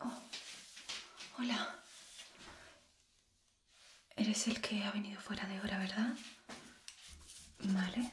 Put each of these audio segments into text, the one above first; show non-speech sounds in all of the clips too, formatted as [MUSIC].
Oh. hola. Eres el que ha venido fuera de hora, ¿verdad? Vale.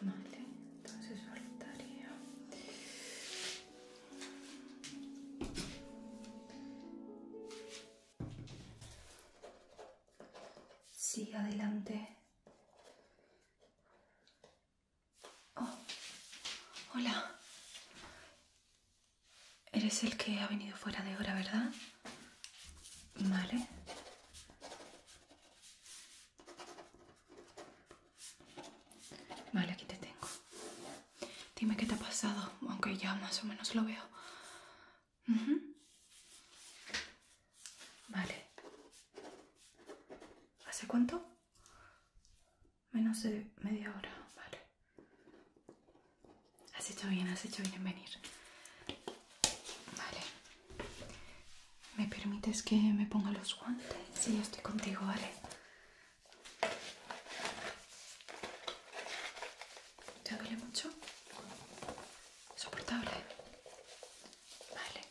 Vale, entonces Sí, adelante. Oh, hola. Eres el que ha venido fuera de hora, ¿verdad? Vale. Vale, aquí te tengo. Dime qué te ha pasado, aunque ya más o menos lo veo. Vale. ¿Hace cuánto? Menos de media hora, vale. Has hecho bien, has hecho bien venir. Vale. ¿Me permites que me ponga los guantes? Sí, estoy contigo, ¿vale? ¿Te duele mucho? ¿Soportable? Vale.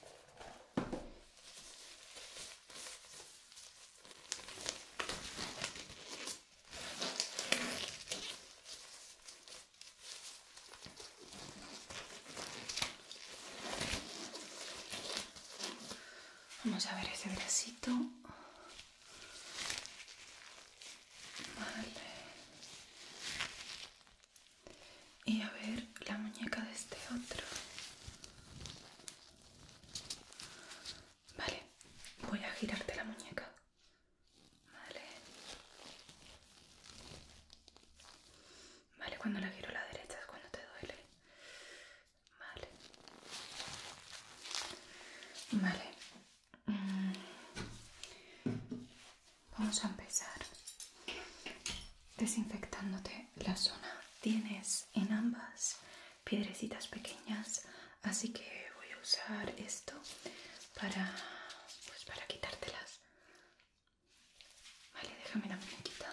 Vamos a ver ese bracito. Vale. Y a ver la muñeca de este otro. Vale, voy a girarte la muñeca. Vale. Vale, cuando la giro a la derecha es cuando te duele. Vale. Vale. Mm. Vamos a empezar desinfectándote la zona. Tienes en ambas piedrecitas pequeñas, así que voy a usar esto para, pues para quitártelas. Vale, déjame la muñequita.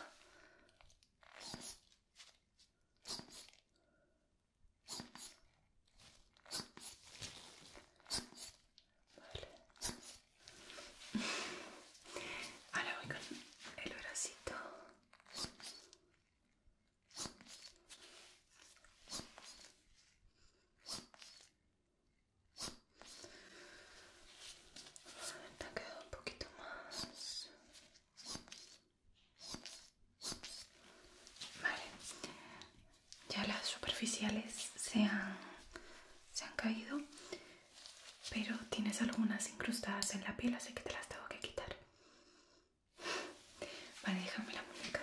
Vale. Ahora voy con el bracito. Te quedado un poquito más. Vale. Ya las superficiales se han, se han caído, pero tienes algunas incrustadas en la piel, así que te las tengo que quitar. Vale, déjame la muñeca.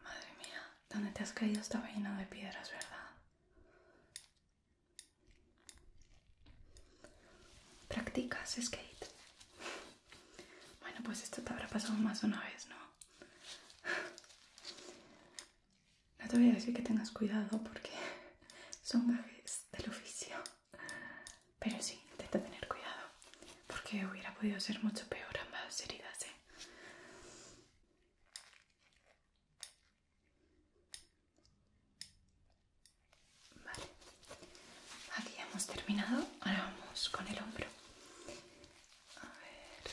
Madre mía, ¿dónde te has caído esta lleno de piedras, ¿verdad? Practicas skate. Bueno, pues esto te habrá pasado más una vez, ¿no? No te voy a decir que tengas cuidado porque [LAUGHS] son gajes del oficio. Pero sí, intenta tener cuidado porque hubiera podido ser mucho peor ambas heridas, ¿eh? Vale, aquí ya hemos terminado. Ahora vamos con el hombro. A ver.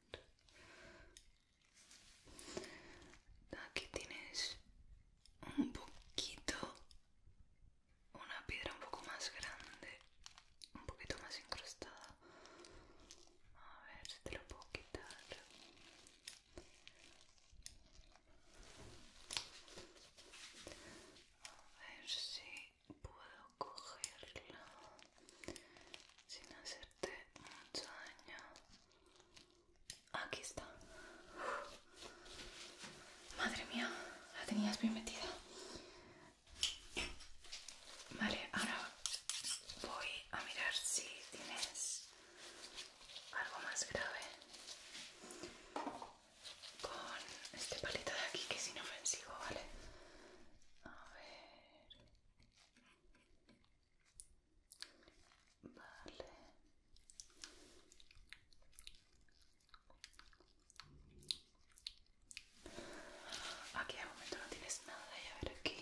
Aquí tienes un poquito, una piedra un poco más grande, un poquito más incrustada. A ver si te lo puedo quitar. A ver si puedo cogerla sin hacerte mucho daño. Aquí está. Madre mía, la tenías bien metida. Vale, ahora voy a mirar si tienes algo más grave con este palito de aquí que es inofensivo, ¿vale? A ver. Vale. Aquí de momento no tienes nada y a ver aquí.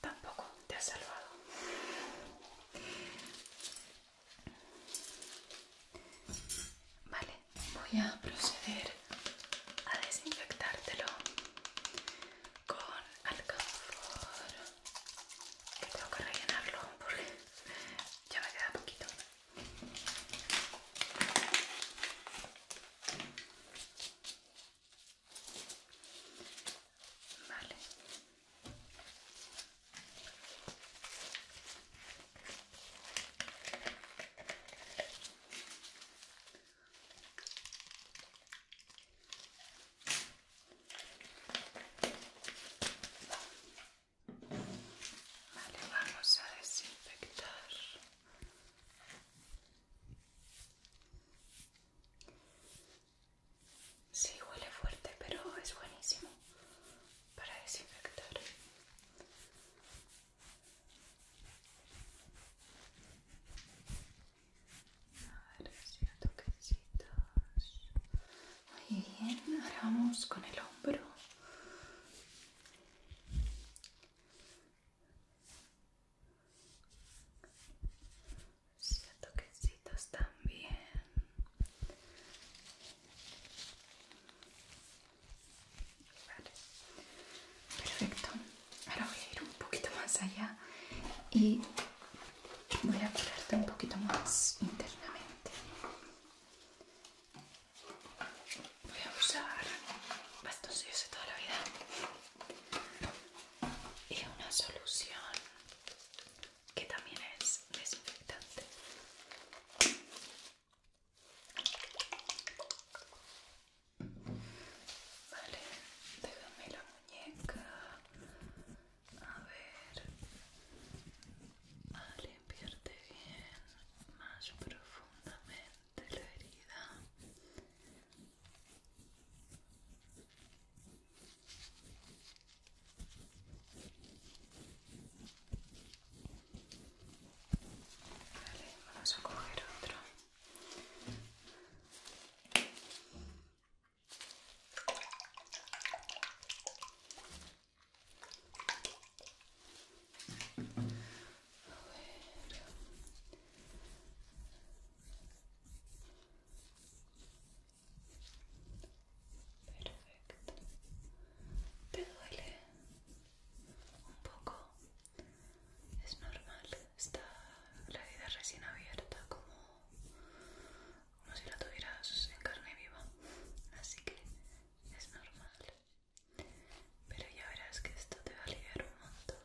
Tampoco te ha salvado. Vale, voy a proceder a desinfectártelo con alcohol. Que tengo que rellenarlo porque ya me queda poquito. Vale. Vale, vamos a desinfectar Sí, huele fuerte, pero es buenísimo para desinfectar. A ver, Muy bien, ahora vamos con el hombro. Hacia toquecitos también. Vale. Perfecto. Ahora voy a ir un poquito más allá y voy a curarte un poquito más internamente. Voy a usar bastoncillos de toda la vida y una solución que también es desinfectante. Vale, déjame la muñeca. A ver. A ah, limpiarte bien, más profundamente de la herida Vale, vamos a coger otro. Perfecto. ¿Te duele? Un poco. Es normal. Está la vida recién abierta, como, como si la tuvieras en carne viva. Así que es normal. Pero ya verás que esto te va a aliviar un montón.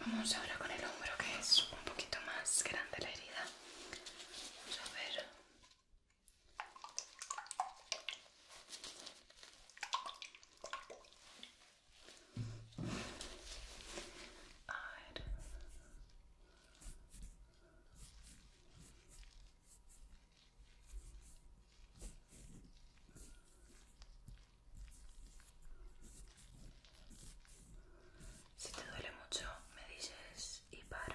Vamos ahora con el hombro que es un poquito más grande la herida. Vamos a ver. A ver. Si te duele mucho, me dices y paro.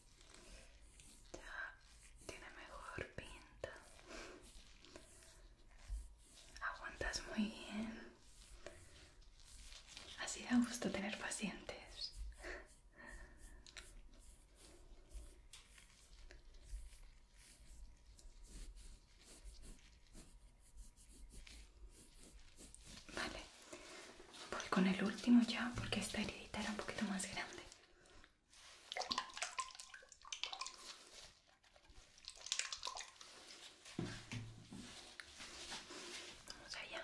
Ya tiene mejor pinta. Aguantas muy bien. Así da gusto tener pacientes. Vale, Voy con el último ya porque esta heridita era un poquito más grande. Vamos allá.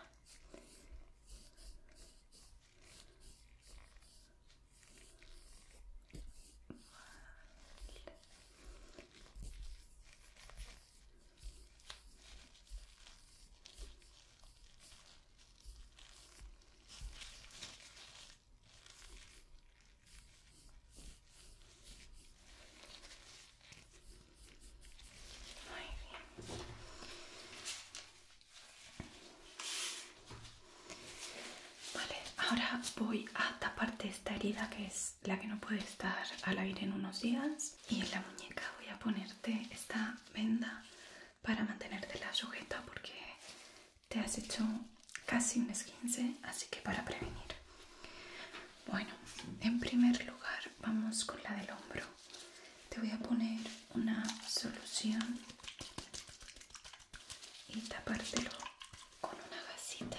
Vale, ahora voy a taparte esta herida que es la que no puede estar al aire en unos días y en la muñeca voy a ponerte esta venda para mantenerte la sujeta porque te has hecho casi un esquince, así que para prevenir. Bueno, en primer lugar vamos con la del hombro. Te voy a poner una solución y tapártelo con una gasita.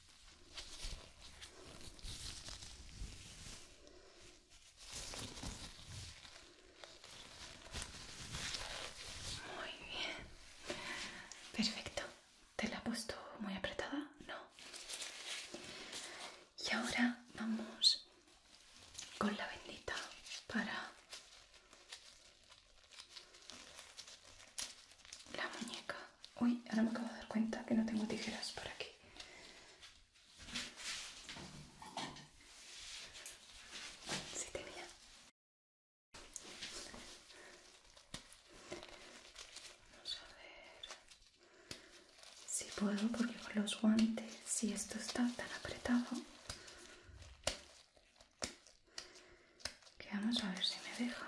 Muy bien. Perfecto. ¿Te la he puesto muy apretada? No. Y ahora vamos con la bendita para la muñeca. Uy, ahora me acabo de dar cuenta que no tengo tijeras por aquí. Sí tenía. Vamos a ver si puedo, porque con los guantes, si esto está tan apretado, que vamos a ver si me deja.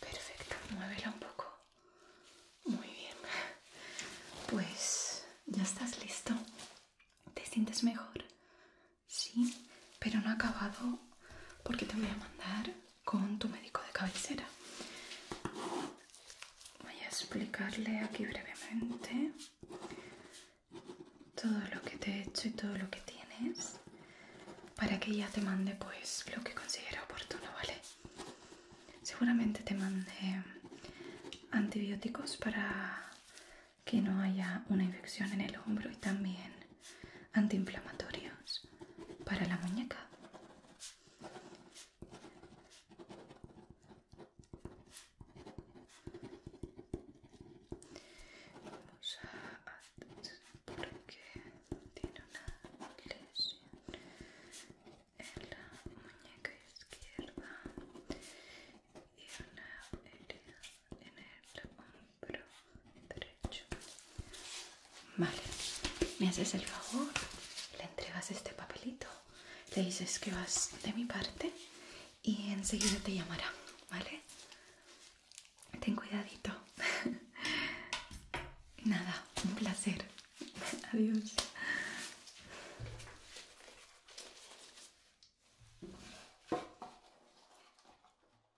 Perfecto, muévela un poco. Muy bien. Pues ya estás listo. ¿Te sientes mejor? Sí, pero no ha acabado porque te voy a mandar con tu médico de cabecera. Voy a explicarle aquí brevemente todo lo que te he hecho y todo lo que tienes para que ella te mande pues lo que considera oportuno, ¿vale? Seguramente te mande antibióticos para que no haya una infección en el hombro y también antiinflamatorios para la muñeca. Vamos a porque tiene una lesión en la muñeca izquierda y una herida en el hombro Vale, me haces el favor, le entregas este papelito, le dices que vas de mi parte y enseguida te llamará, ¿vale? Ten cuidadito. [LAUGHS] Nada, un placer. [LAUGHS] Adiós.